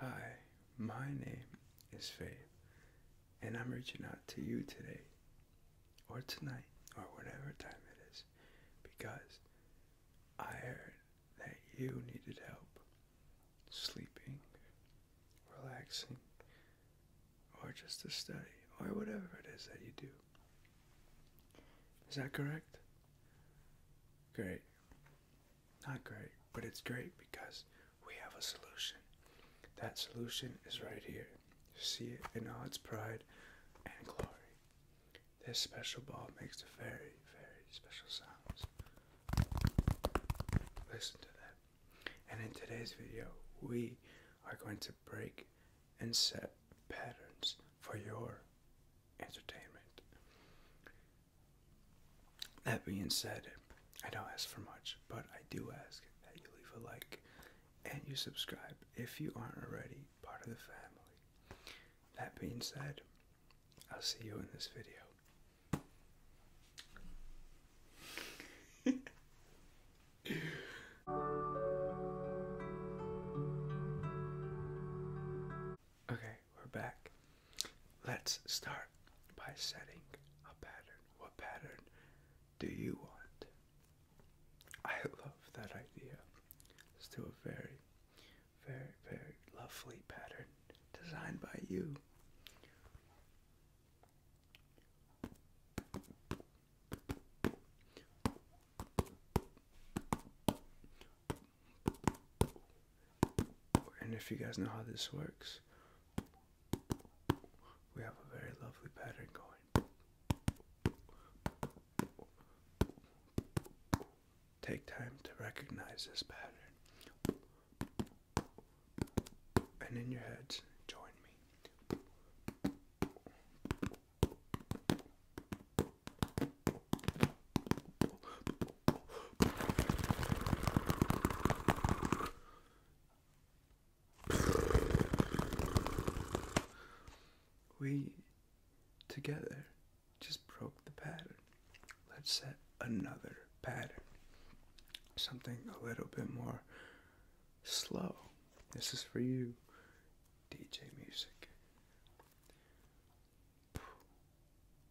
Hi, my name is Faith, and I'm reaching out to you today, or tonight, or whatever time it is, because I heard that you needed help sleeping, relaxing, or just to study, or whatever it is that you do. Is that correct? Great. Not great, but it's great because we have a solution. That solution is right here. See it in all its pride and glory. This special ball makes a very, very special sounds. Listen to that. And in today's video, we are going to break and set patterns for your entertainment. That being said, I don't ask for much, but I do ask that you leave a like and you subscribe if you aren't already part of the family. That being said, I'll see you in this video. Okay, we're back. Let's start by setting a pattern. What pattern do you want? I love that idea. It's us a very, very, very lovely pattern designed by you. And if you guys know how this works, we have a very lovely pattern going. Take time to recognize this pattern. And in your heads, join me. We together just broke the pattern. Let's set another pattern. Something a little bit more slow. This is for you, DJ Music.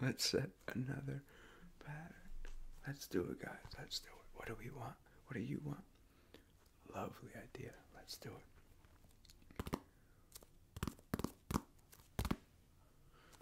Let's set another pattern. Let's do it, guys. Let's do it. What do we want? What do you want? Lovely idea. Let's do it.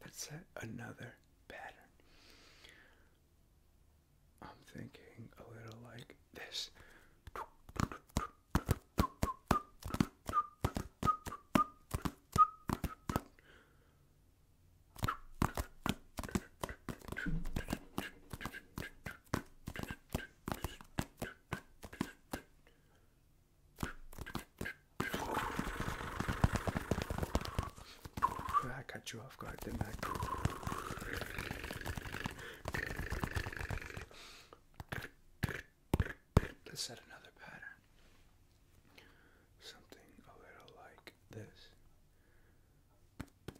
That's another pattern. I'm thinking a little like this. I got you off guard, didn't I? Let's set another pattern. Something a little like this.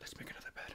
Let's make another bed.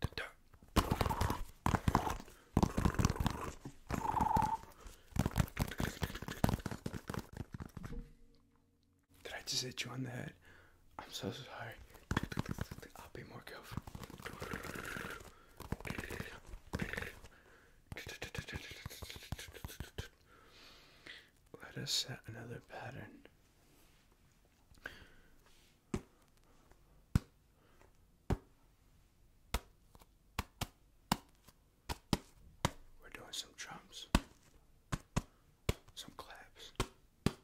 Did I just hit you on the head? I'm so sorry. I'll be more careful. Let us set another pattern. We're doing some drums, some claps. Damn,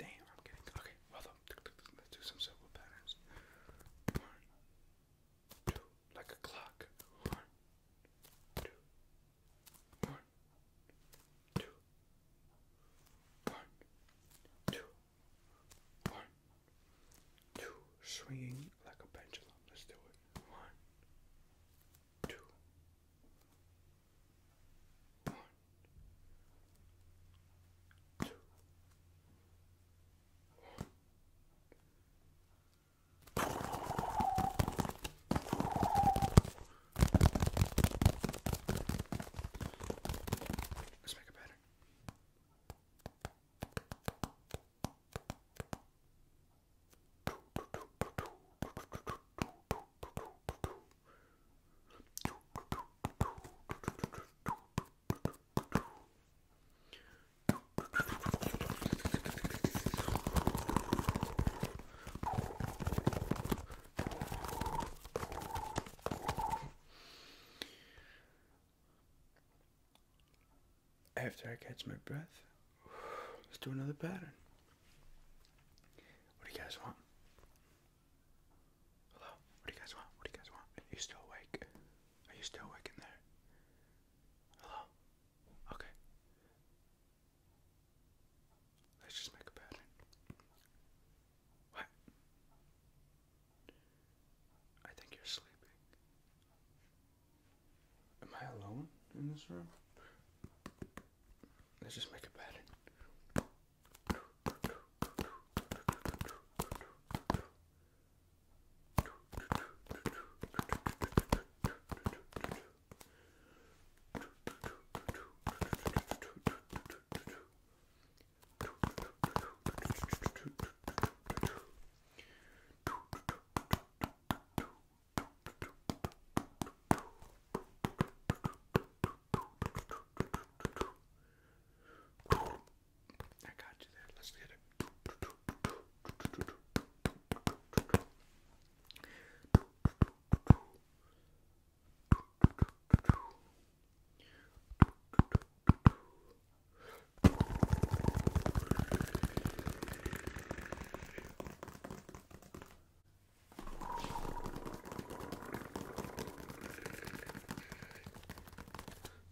I'm getting okay. Well, let's do some simple patterns. One, two, like a clock. One, two, one, two, one, two, one, two. Swinging like a pendulum. Let's do it. One, two, one, two, one, Let's make a pattern. After I catch my breath, let's do another pattern. What do you guys want? Hello? What do you guys want? What do you guys want? Are you still awake? Are you still awake in there? Hello? Okay. Let's just make a pattern. What? I think you're sleeping. Am I alone in this room? Let's just make a pattern. I got you there. Let's get it.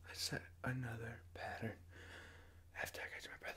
I set another pattern after I catch my breath.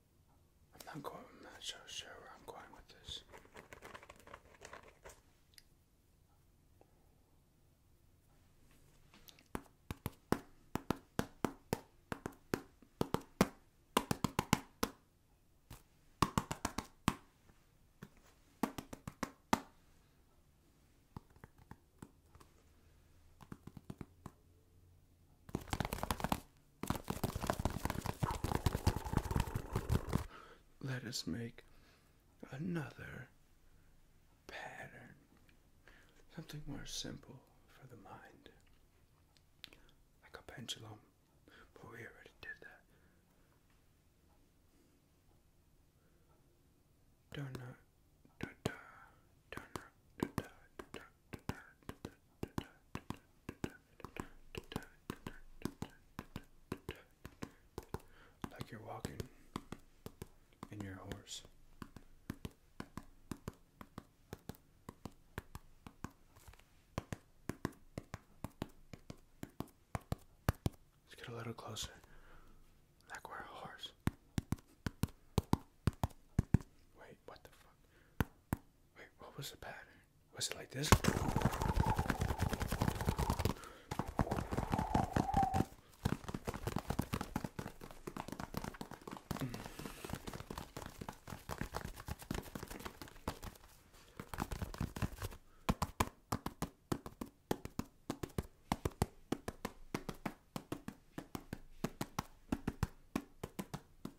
I'm not quite. sure where I'm going with this. Let us make another pattern. Something more simple for the mind. Like a pendulum. But we already did that. Dun -dun, dun like you're walking in your horse. Let's get a little closer. Like we're a horse. Wait, what the fuck? Wait, what was the pattern? Was it like this?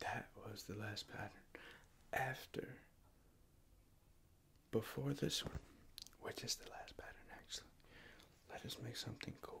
That was the last pattern. After, before this one, which is the last pattern actually, let us make something cool.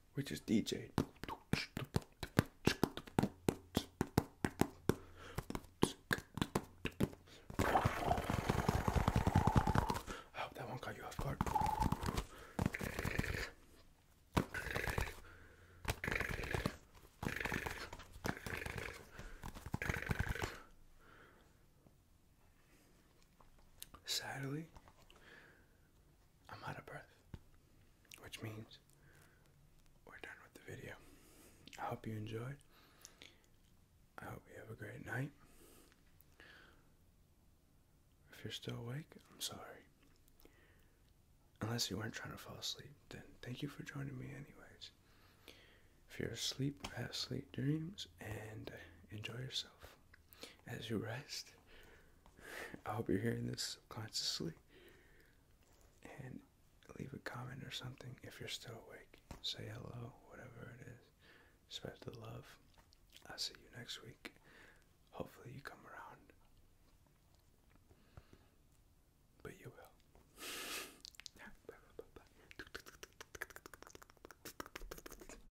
we just DJ. I hope that one caught you off guard. Sadly, I'm out of breath, which means we're done with the video. I hope you enjoyed. I hope you have a great night. If you're still awake, I'm sorry. Unless you weren't trying to fall asleep, then thank you for joining me, anyways. If you're asleep, have sweet dreams and enjoy yourself as you rest I hope you're hearing this consciously. And leave a comment or something if you're still awake. Say hello, whatever it is. Spread the love. I'll see you next week. Hopefully, you come around. But you will. bye, bye, bye, bye.